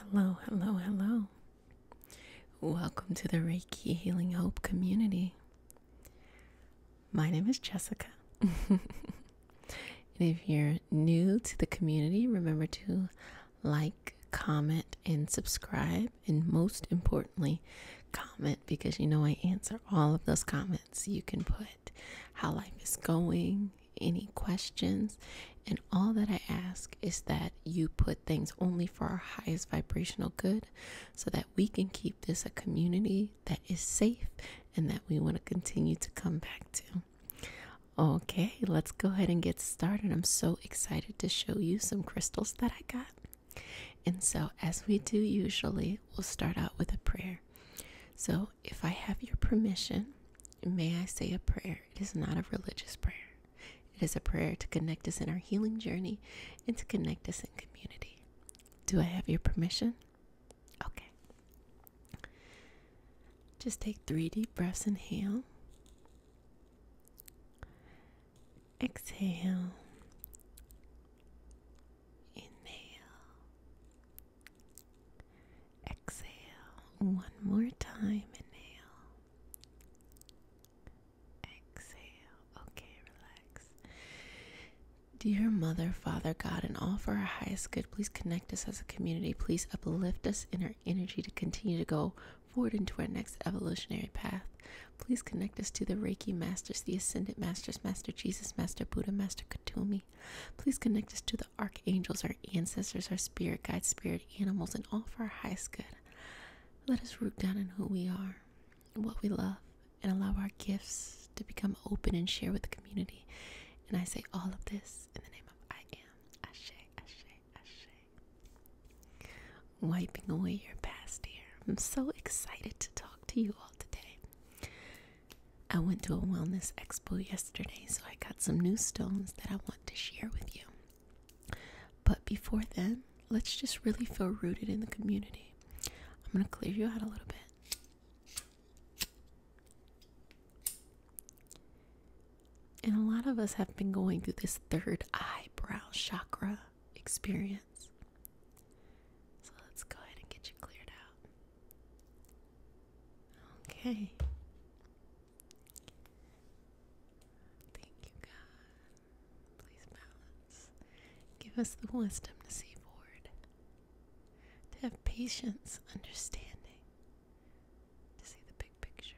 Hello, hello, hello. Welcome to the Reiki Healing Hope community. My name is Jessica. if you're new to the community, remember to like, comment, and subscribe. And most importantly, comment because you know I answer all of those comments. You can put how life is going, any questions. And all that I ask is that you put things only for our highest vibrational good so that we can keep this a community that is safe and that we want to continue to come back to. Okay, let's go ahead and get started. I'm so excited to show you some crystals that I got. And so, as we do usually, we'll start out with a prayer. So, if I have your permission, may I say a prayer? It is not a religious prayer. It is a prayer to connect us in our healing journey and to connect us in community. Do I have your permission? Okay. Just take three deep breaths. Inhale. Exhale. Inhale. Exhale one more time. Inhale. Exhale. Okay, relax. Dear Mother, Father, God, and all for our highest good, please connect us as a community. Please uplift us in our energy to continue to go forward into our next evolutionary path. Please connect us to the Reiki Masters, the Ascendant Masters, Master Jesus, Master Buddha, Master Katumi. Please connect us to the Archangels, our ancestors, our spirit guides, spirit animals and all for our highest good. Let us root down in who we are, what we love, and allow our gifts to become open and share with the community. And I say all of this in the name of I am Ashe, Ashe, Ashe. Wiping away your past here. I'm so excited to talk to you all today. I went to a wellness expo yesterday, so I got some new stones that I want to share with you. But before then, let's just really feel rooted in the community. I'm going to clear you out a little bit. And a lot of us have been going through this third eyebrow chakra experience. So let's go ahead and get you cleared out. Okay. Thank you, God. Please balance. Give us the wisdom to see forward, to have patience, understanding, to see the big picture.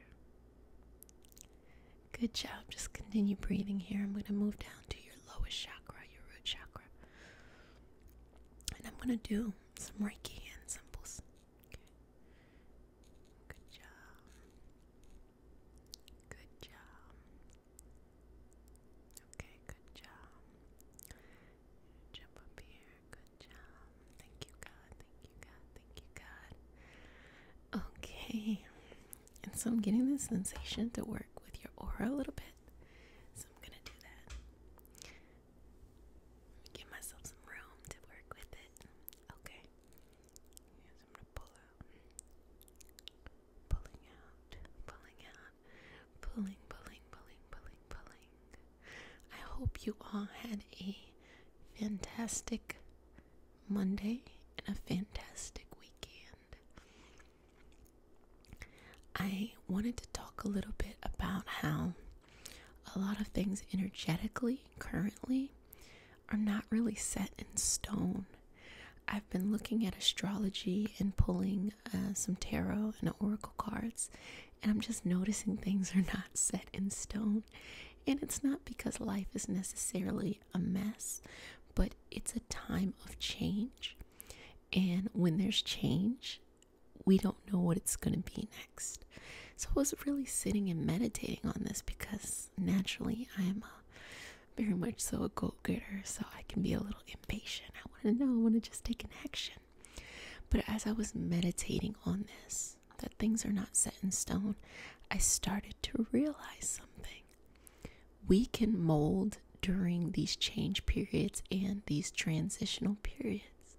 Good job. Just continue breathing here. I'm going to move down to your lowest chakra, your root chakra. And I'm going to do some Reiki hand symbols. Okay. Good job. Good job. Okay, good job. Jump up here. Good job. Thank you, God. Thank you, God. Thank you, God. Okay. And so I'm getting this sensation to work with your aura a little bit. So I'm going to do that. Give myself some room to work with it. Okay. Yes, I'm gonna pull out. Pulling out. Pulling out. Pulling, pulling, pulling, pulling, pulling. I hope you all had a fantastic Monday and a fantastic weekend. I wanted to talk a little bit about how a lot of things energetically currently are not really set in stone. I've been looking at astrology and pulling uh, some tarot and oracle cards, and I'm just noticing things are not set in stone. And it's not because life is necessarily a mess, but it's a time of change. And when there's change, we don't know what it's going to be next. So I was really sitting and meditating on this because naturally I'm a, very much so a goal getter, so I can be a little impatient. I want to know, I want to just take an action. But as I was meditating on this, that things are not set in stone, I started to realize something. We can mold during these change periods and these transitional periods.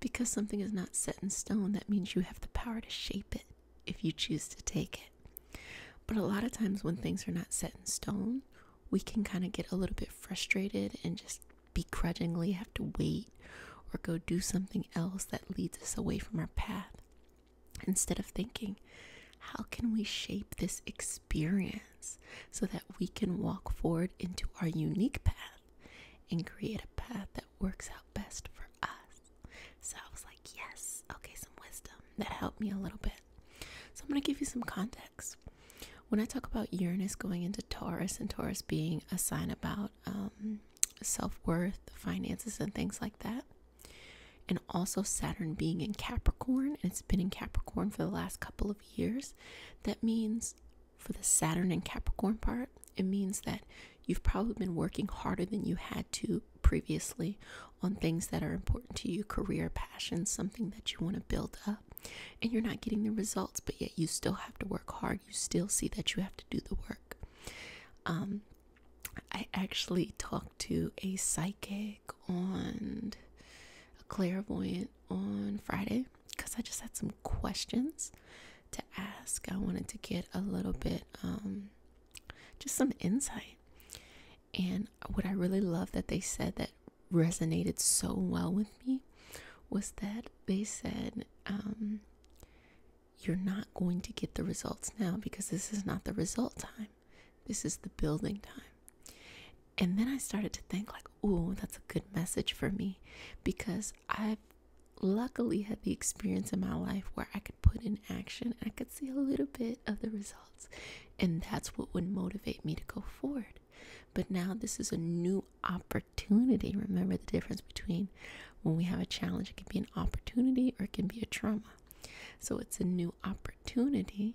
Because something is not set in stone, that means you have the power to shape it if you choose to take it. But a lot of times, when things are not set in stone, we can kind of get a little bit frustrated and just begrudgingly have to wait or go do something else that leads us away from our path instead of thinking, how can we shape this experience so that we can walk forward into our unique path? and create a path that works out best for us. So I was like, yes, okay, some wisdom. That helped me a little bit. So I'm going to give you some context. When I talk about Uranus going into Taurus and Taurus being a sign about um, self worth, finances, and things like that, and also Saturn being in Capricorn, and it's been in Capricorn for the last couple of years, that means for the Saturn and Capricorn part, it means that you've probably been working harder than you had to previously on things that are important to you career, passion, something that you want to build up, and you're not getting the results, but yet you still have to work hard. You still see that you have to do the work. Um, I actually talked to a psychic on a clairvoyant on Friday because I just had some questions to ask. I wanted to get a little bit, um, just some insight. And what I really love that they said that resonated so well with me was that they said, um, You're not going to get the results now because this is not the result time, this is the building time. And then I started to think, like, oh, that's a good message for me because I've luckily had the experience in my life where I could put in action I could see a little bit of the results. And that's what would motivate me to go forward. But now this is a new opportunity. Remember the difference between when we have a challenge, it can be an opportunity or it can be a trauma. So it's a new opportunity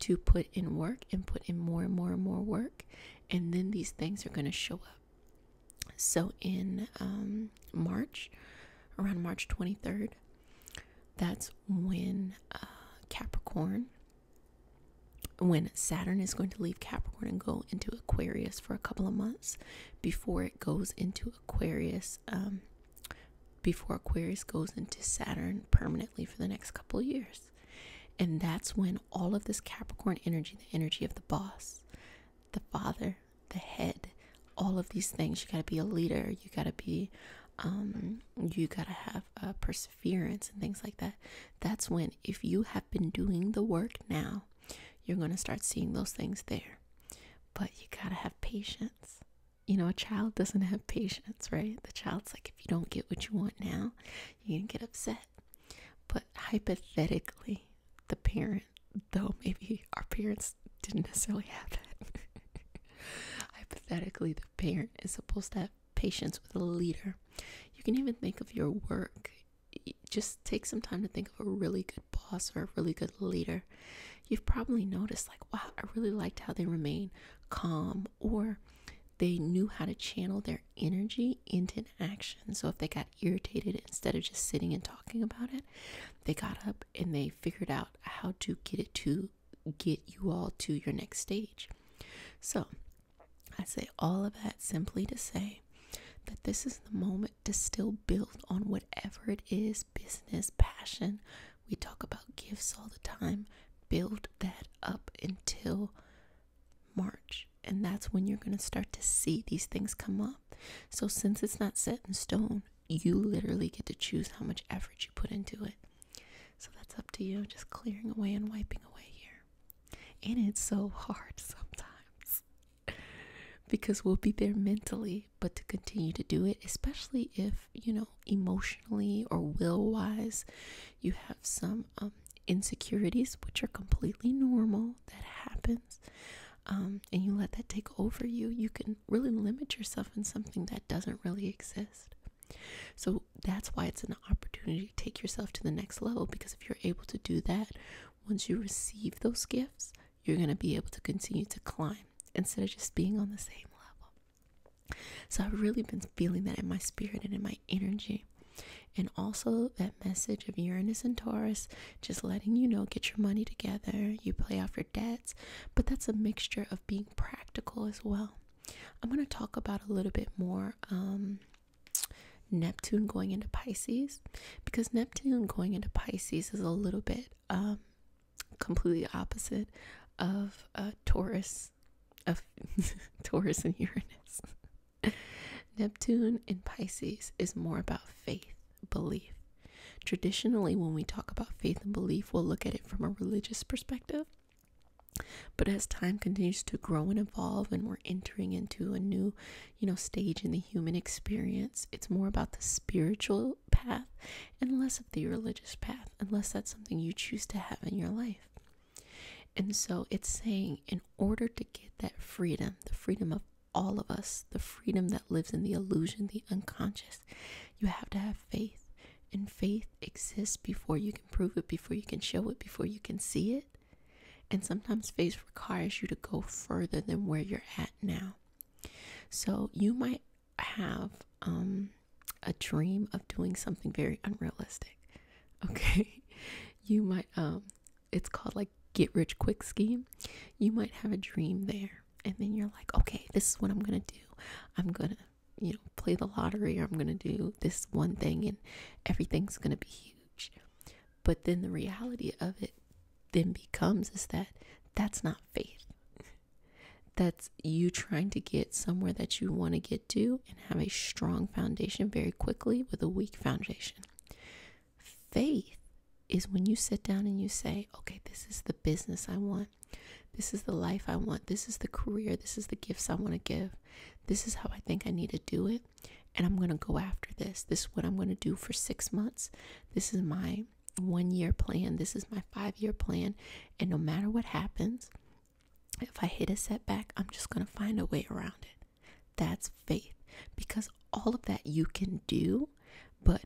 to put in work and put in more and more and more work. And then these things are going to show up. So in um, March, around March 23rd, that's when uh, Capricorn, when Saturn is going to leave Capricorn and go into Aquarius for a couple of months before it goes into Aquarius, um, before Aquarius goes into Saturn permanently for the next couple of years. And that's when all of this Capricorn energy, the energy of the boss, the father, the head, all of these things. You got to be a leader. You got to be, um, you got to have uh, perseverance and things like that. That's when, if you have been doing the work now, you're going to start seeing those things there. But you got to have patience. You know, a child doesn't have patience, right? The child's like, if you don't get what you want now, you're going to get upset. But hypothetically, the parent, though maybe our parents didn't necessarily have that, hypothetically, the parent is supposed to have patience with a leader. You can even think of your work. Just take some time to think of a really good boss or a really good leader. You've probably noticed, like, wow, I really liked how they remain calm or they knew how to channel their energy into an action. So if they got irritated instead of just sitting and talking about it, they got up and they figured out how to get it to get you all to your next stage. So I say all of that simply to say that this is the moment to still build on whatever it is business, passion. We talk about gifts all the time. Build that up until March. And that's when you're going to start to see these things come up. So, since it's not set in stone, you literally get to choose how much effort you put into it. So, that's up to you, just clearing away and wiping away here. And it's so hard sometimes because we'll be there mentally, but to continue to do it, especially if, you know, emotionally or will wise, you have some um, insecurities which are completely normal that happens um, and you let that take over you you can really limit yourself in something that doesn't really exist so that's why it's an opportunity to take yourself to the next level because if you're able to do that once you receive those gifts you're going to be able to continue to climb instead of just being on the same level so I've really been feeling that in my spirit and in my energy. And also, that message of Uranus and Taurus, just letting you know, get your money together, you pay off your debts. But that's a mixture of being practical as well. I'm going to talk about a little bit more um, Neptune going into Pisces because Neptune going into Pisces is a little bit um, completely opposite of uh, Taurus of Taurus and Uranus. Neptune in Pisces is more about faith, belief. Traditionally, when we talk about faith and belief, we'll look at it from a religious perspective. But as time continues to grow and evolve, and we're entering into a new, you know, stage in the human experience, it's more about the spiritual path and less of the religious path, unless that's something you choose to have in your life. And so it's saying, in order to get that freedom, the freedom of all of us, the freedom that lives in the illusion, the unconscious, you have to have faith. And faith exists before you can prove it, before you can show it, before you can see it. And sometimes faith requires you to go further than where you're at now. So you might have um, a dream of doing something very unrealistic. okay you might um it's called like get rich quick scheme you might have a dream there and then you're like okay this is what i'm gonna do i'm gonna you know play the lottery or i'm gonna do this one thing and everything's gonna be huge but then the reality of it then becomes is that that's not faith that's you trying to get somewhere that you want to get to have a strong foundation very quickly with a weak foundation. Faith is when you sit down and you say, okay, this is the business I want. This is the life I want. This is the career. This is the gifts I want to give. This is how I think I need to do it. And I'm going to go after this. This is what I'm going to do for six months. This is my one year plan. This is my five year plan. And no matter what happens, if I hit a setback, I'm just going to find a way around it. That's faith because all of that you can do, but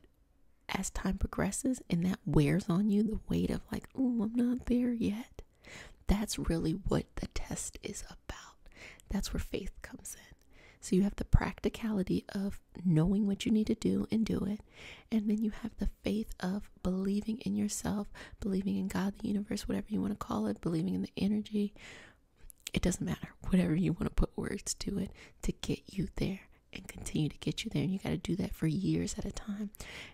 as time progresses and that wears on you, the weight of like, oh, I'm not there yet. That's really what the test is about. That's where faith comes in. So you have the practicality of knowing what you need to do and do it. And then you have the faith of believing in yourself, believing in God, the universe, whatever you want to call it, believing in the energy. It doesn't matter. Whatever you want to put words to it to get you there and continue to get you there. And you got to do that for years at a time.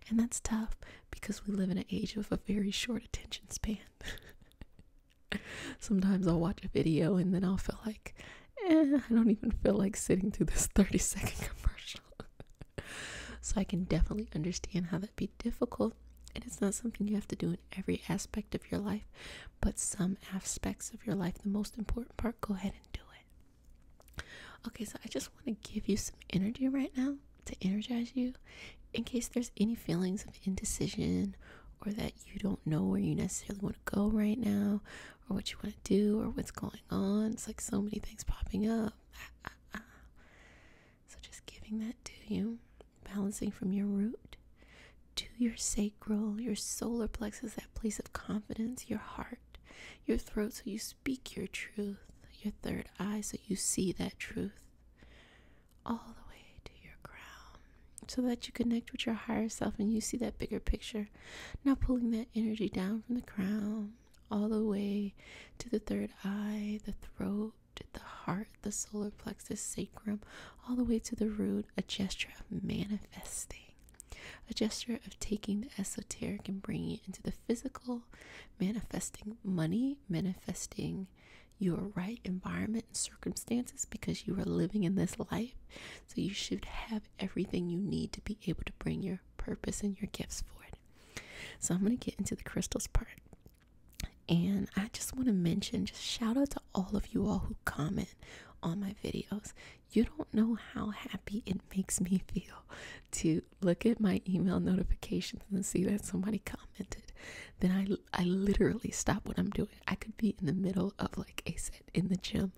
And that's tough because we live in an age of a very short attention span. Sometimes I'll watch a video and then I'll feel like, eh, I don't even feel like sitting through this 30 second commercial so I can definitely understand how that'd be difficult. And it's not something you have to do in every aspect of your life, but some aspects of your life, the most important part, go ahead and do it. Okay, so I just want to give you some energy right now to energize you in case there's any feelings of indecision or that you don't know where you necessarily want to go right now or what you want to do or what's going on. It's like so many things popping up. Ah, ah, ah. So just giving that to you, balancing from your root to your sacral, your solar plexus, that place of confidence, your heart, your throat, so you speak your truth, your third eye, so you see that truth, all the way to your crown, so that you connect with your higher self and you see that bigger picture. Now pulling that energy down from the crown all the way to the third eye, the throat, did the heart, the solar plexus, sacrum, all the way to the root, a gesture of manifesting. A gesture of taking the esoteric and bringing it into the physical, manifesting money, manifesting your right environment and circumstances because you are living in this life. So you should have everything you need to be able to bring your purpose and your gifts forward. So I'm going to get into the crystals part and I just want to mention just shout out to all of you all who comment on my videos. You don't know how happy it makes me feel to look at my email notifications and see that somebody commented. Then I, I literally stop what I'm doing. I could be in the middle of like a set in the gym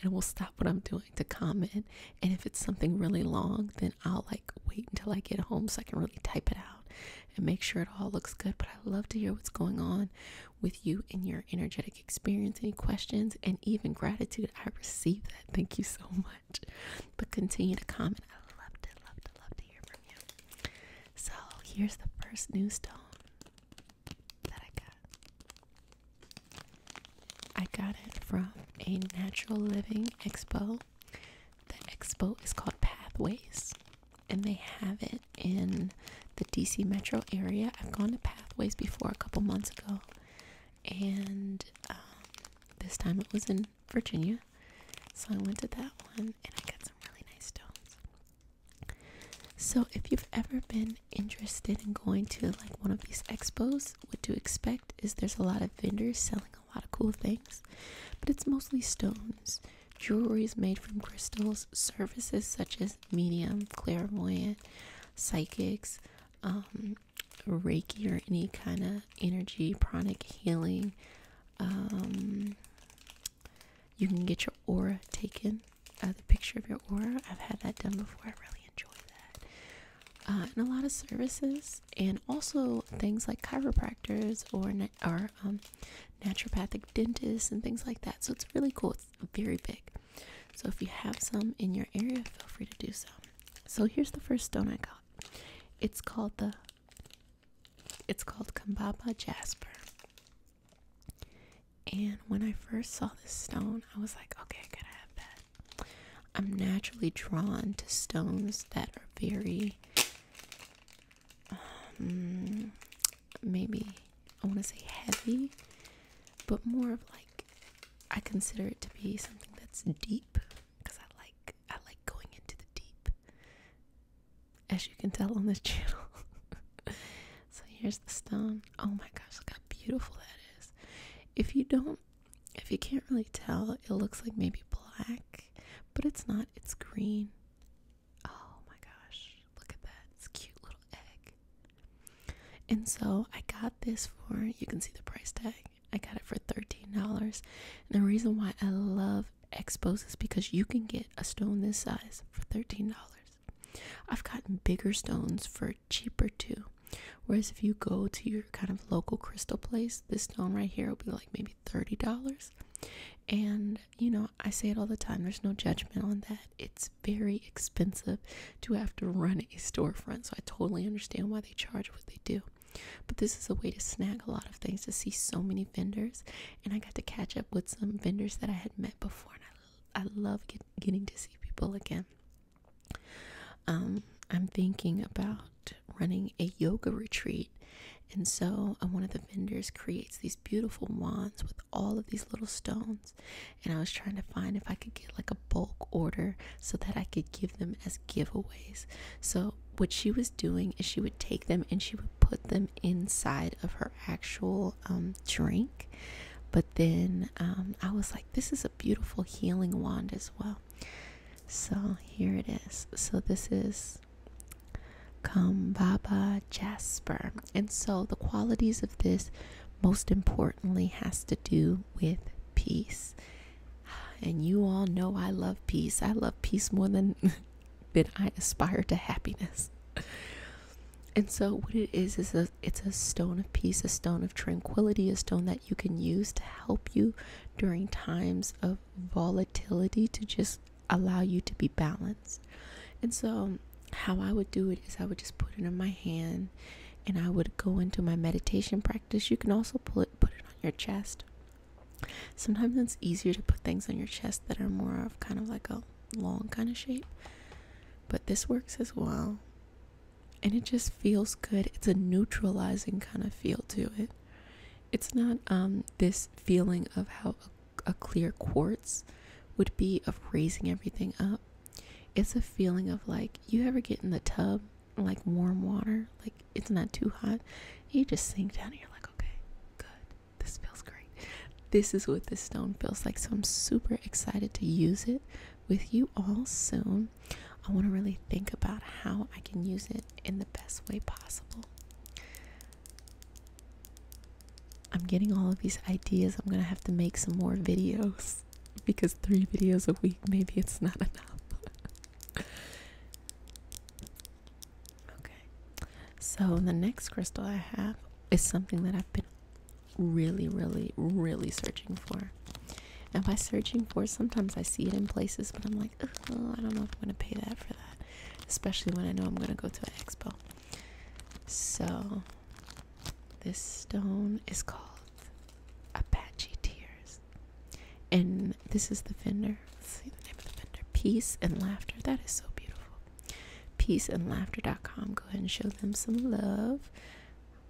and we will stop what I'm doing to comment. And if it's something really long, then I'll like wait until I get home so I can really type it out and make sure it all looks good. But I love to hear what's going on with you and your energetic experience, any questions, and even gratitude. I receive that. Thank you so much. But continue to comment. I love to, love to, love to hear from you. So here's the first new stone that I got. I got it from a natural living expo. The expo is called Pathways, and they have it in the DC metro area. I've gone to Pathways before a couple months ago, and um, this time it was in Virginia. So I went to that one and I got some really nice stones. So if you've ever been interested in going to like one of these expos, what to expect is there's a lot of vendors selling a lot of cool things, but it's mostly stones. Jewelry is made from crystals. Services such as medium, clairvoyant, psychics, um, Reiki, or any kind of energy, pranic healing. Um, you can get your aura taken, uh, the picture of your aura. I've had that done before. I really enjoy that and uh, a lot of services, and also things like chiropractors or na um, naturopathic dentists and things like that. So it's really cool. It's very big. So if you have some in your area, feel free to do so. So here's the first stone I got. It's called the. It's called Kambaba Jasper. And when I first saw this stone, I was like, okay, I gotta have that. I'm naturally drawn to stones that are very, um, maybe I want to say heavy, but more of like I consider it to be something that's deep because I like I like going into the deep, as you can tell on this channel. so here's the stone. Oh my gosh, look how beautiful that is! If you don't if you can't really tell, it looks like maybe black, but it's not, it's green. Oh my gosh, look at that. cute little egg. And so I got this for, you can see the price tag. I got it for $13. And the reason why I love Expos is because you can get a stone this size for $13. I've gotten bigger stones for cheaper too. Whereas if you go to your kind of local crystal place, this stone right here will be like maybe $30. And you know, I say it all the time, there's no judgment on that. It's very expensive to have to run a storefront, so I totally understand why they charge what they do. But this is a way to snag a lot of things to see so many vendors, and I got to catch up with some vendors that I had met before, and I, I love getting to see people again. Um, I'm thinking about running a yoga retreat. And so uh, one of the vendors creates these beautiful wands with all of these little stones. And I was trying to find if I could get like a bulk order so that I could give them as giveaways. So what she was doing is she would take them and she would put them inside of her actual um, drink. But then um, I was like, this is a beautiful healing wand as well. So here it is. So this is Kambaba Jasper. And so the qualities of this most importantly has to do with peace. And you all know I love peace. I love peace more than than I aspire to happiness. And so what it is is a it's a stone of peace, a stone of tranquility, a stone that you can use to help you during times of volatility to just allow you to be balanced. And so, how I would do it is I would just put it in my hand and I would go into my meditation practice. You can also pull put it on your chest. Sometimes it's easier to put things on your chest that are more of kind of like a long kind of shape, but this works as well and it just feels good. It's a neutralizing kind of feel to it. It's not um this feeling of how a, a clear quartz would be of raising everything up. It's a feeling of like you ever get in the tub like warm water, like it's not too hot. You just sink down and you're like, okay, good. This feels great. This is what this stone feels like. So I'm super excited to use it with you all soon. I want to really think about how I can use it in the best way possible. I'm getting all of these ideas. I'm going to have to make some more videos because three videos a week, maybe it's not enough. okay. So, the next crystal I have is something that I've been really, really, really searching for there. Now, by searching for, sometimes I see it in places, but I'm like, oh, I don't know if I'm gonna pay that for that, especially when I know I'm gonna go to an expo. So, this stone is called Apache Tears, and this is the vendor. Let's see the name of the vendor. Peace and Laughter. That is so beautiful. Peaceandlaughter.com. Go ahead and show them some love.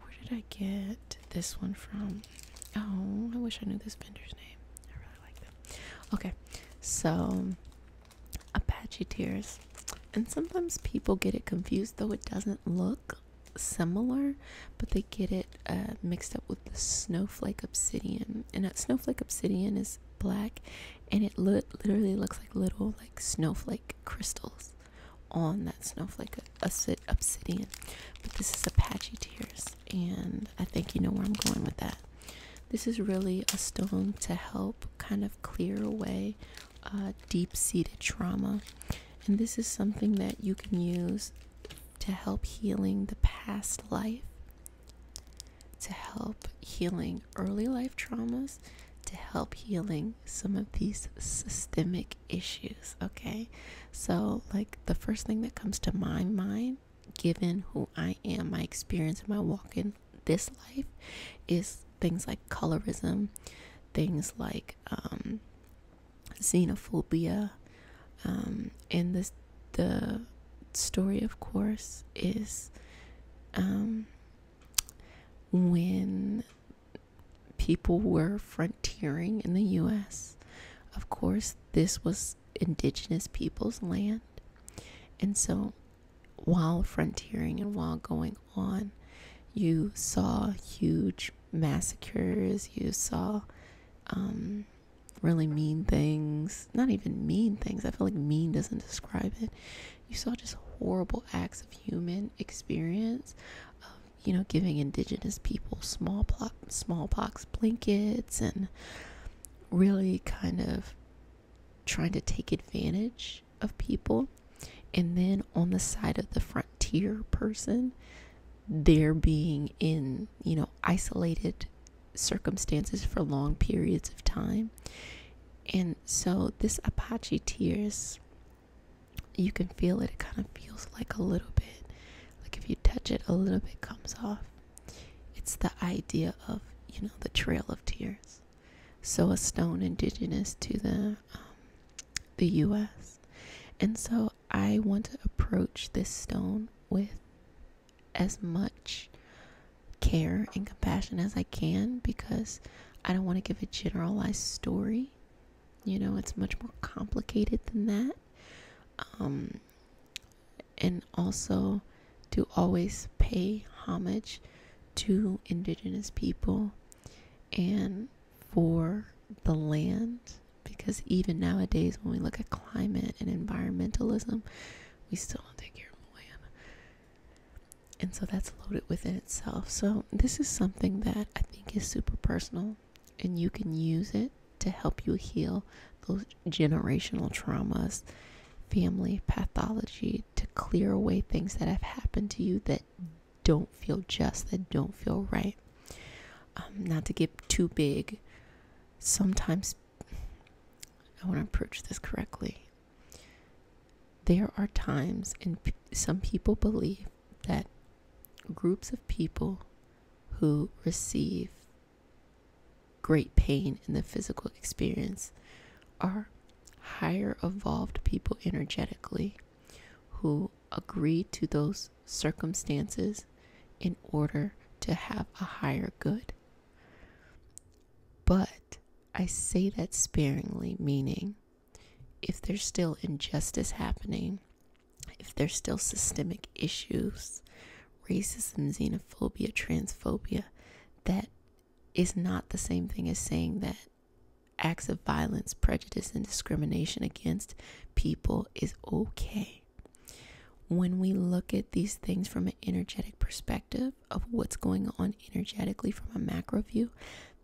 Where did I get this one from? Oh, I wish I knew this vendor's name. I really like them. Okay, so Apache Tears. And sometimes people get it confused, though it doesn't look similar, but they get it uh, mixed up with the Snowflake Obsidian. And that Snowflake Obsidian is black and it li literally looks like little like snowflake crystals on that snowflake obsidian, but this is Apache Tears, and I think you know where I'm going with that. This is really a stone to help kind of clear away uh, deep seated trauma, and this is something that you can use to help healing the past life, to help healing early life traumas, to help healing some of these systemic issues, okay? So, like, the first thing that comes to my mind, given who I am, my experience, and my walking this life, is things like colorism, things like um, xenophobia, um, and this the story, of course, is um, when people were frontiering in the US. Of course, this was indigenous people's land. And so, while frontiering and while going on, you saw huge massacres, you saw um, really mean things. Not even mean things, I feel like mean doesn't describe it. You saw just horrible acts of human experience you know, giving indigenous people smallpox blankets and really kind of trying to take advantage of people. And then on the side of the frontier person, they're being in, you know, isolated circumstances for long periods of time. And so this Apache tears you can feel it. It kind of feels like a little bit, like if you touch it, a little bit comes off. It's the idea of, you know, the Trail of Tears. So a stone indigenous to the um, the U.S. And so I want to approach this stone with as much care and compassion as I can because I don't want to give a generalized story you know, it's much more complicated than that. Um, and also to always pay homage to indigenous people and for the land because even nowadays when we look at climate and environmentalism we still don't take care of the land and so that's loaded within itself so this is something that i think is super personal and you can use it to help you heal those generational traumas, family pathology, to clear away things that have happened to you that don't feel just, that don't feel right. Um, not to get too big. Sometimes, I want to approach this correctly. There are times, and some people believe that groups of people who receive great pain in the physical experience are higher evolved people energetically who agree to those circumstances in order to have a higher good. But I say that sparingly, meaning if there's still injustice happening if there's still systemic issues, racism, xenophobia, transphobia, that is not the same thing as saying that acts of violence, prejudice, and discrimination against people is okay. When we look at these things from an energetic perspective of what's going on energetically from a macro view,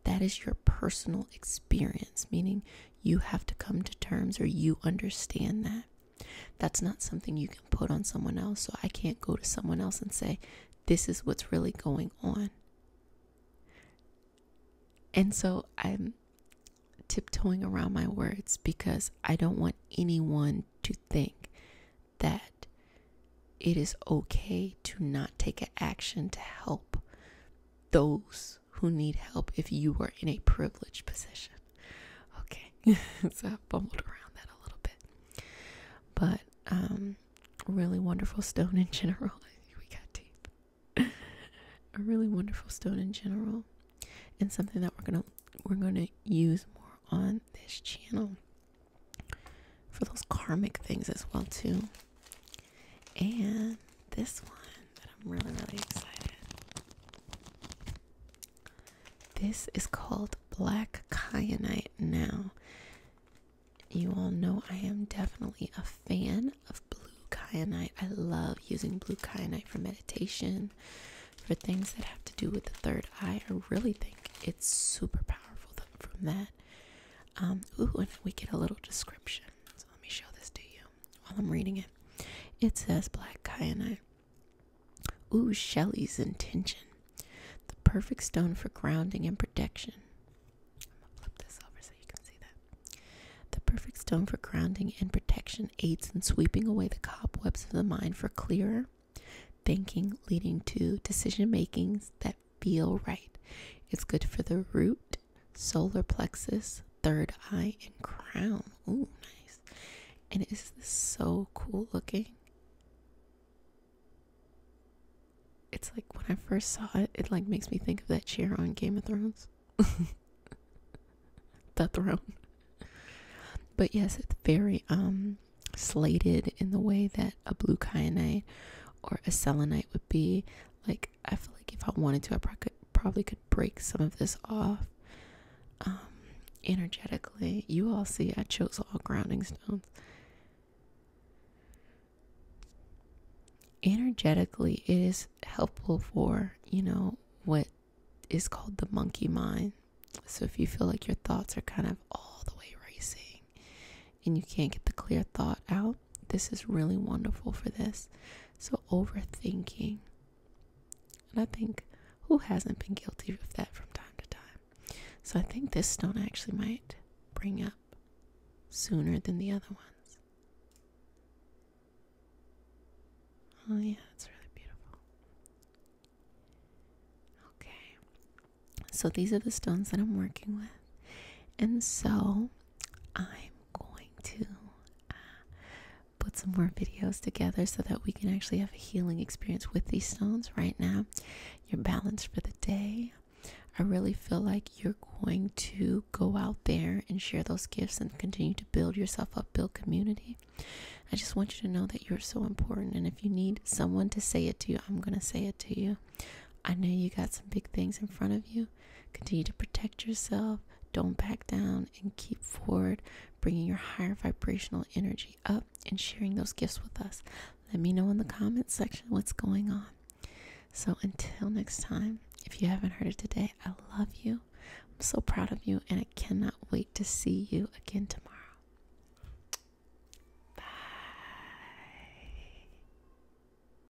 that is your personal experience, meaning you have to come to terms or you understand that. That's not something you can put on someone else. So I can't go to someone else and say, this is what's really going on. And so I'm tiptoeing around my words because I don't want anyone to think that it is okay to not take action to help those who need help if you are in a privileged position. Okay, so I bumbled around that a little bit, but um, really wonderful stone in general. We got deep. a really wonderful stone in general, and something that we're gonna we're gonna use more on this channel for those karmic things as well too. And this one that I'm really, really excited. This is called Black Kyanite now. You all know I am definitely a fan of blue kyanite. I love using blue kyanite for meditation, for things that have to do with the third eye. I really think it's super powerful from that. Um, ooh, and we get a little description. So let me show this to you while I'm reading it. It says, Black Kyanite. Ooh, Shelley's intention. The perfect stone for grounding and protection. I'm going to flip this over so you can see that. The perfect stone for grounding and protection aids in sweeping away the cobwebs of the mind for clearer thinking, leading to decision makings that feel right. It's good for the root solar plexus, third eye, and crown. Ooh, nice. And is this so cool looking? It's like when I first saw it, it like makes me think of that chair on Game of Thrones. the throne. But yes, it's very um slated in the way that a blue kyanite or a selenite would be like I feel like if I wanted to, I probably could, break some of this off um, energetically. You all see, I chose all grounding stones. Energetically, it is helpful for you know what is called the monkey mind. So if you feel like your thoughts are kind of all the way racing and you can't get the clear thought out, this is really wonderful for this. So, overthinking. And I think who hasn't been guilty of that from time to time? So, I think this stone actually might bring up sooner than the other ones. Oh, yeah, that's really beautiful. Okay. So, these are the stones that I'm working with. And so, I'm going to uh, put some more videos together so that we can actually have a healing experience with these stones right now. Your balance for the day. I really feel like you're going to go out there and share those gifts and continue to build yourself up, build community. I just want you to know that you're so important. And if you need someone to say it to you, I'm going to say it to you. I know you got some big things in front of you. Continue to protect yourself. Don't back down and keep forward, bringing your higher vibrational energy up and sharing those gifts with us. Let me know in the comments section what's going on. So until next time, if you haven't heard it today, I love you. I'm so proud of you, and I cannot wait to see you again tomorrow. Bye.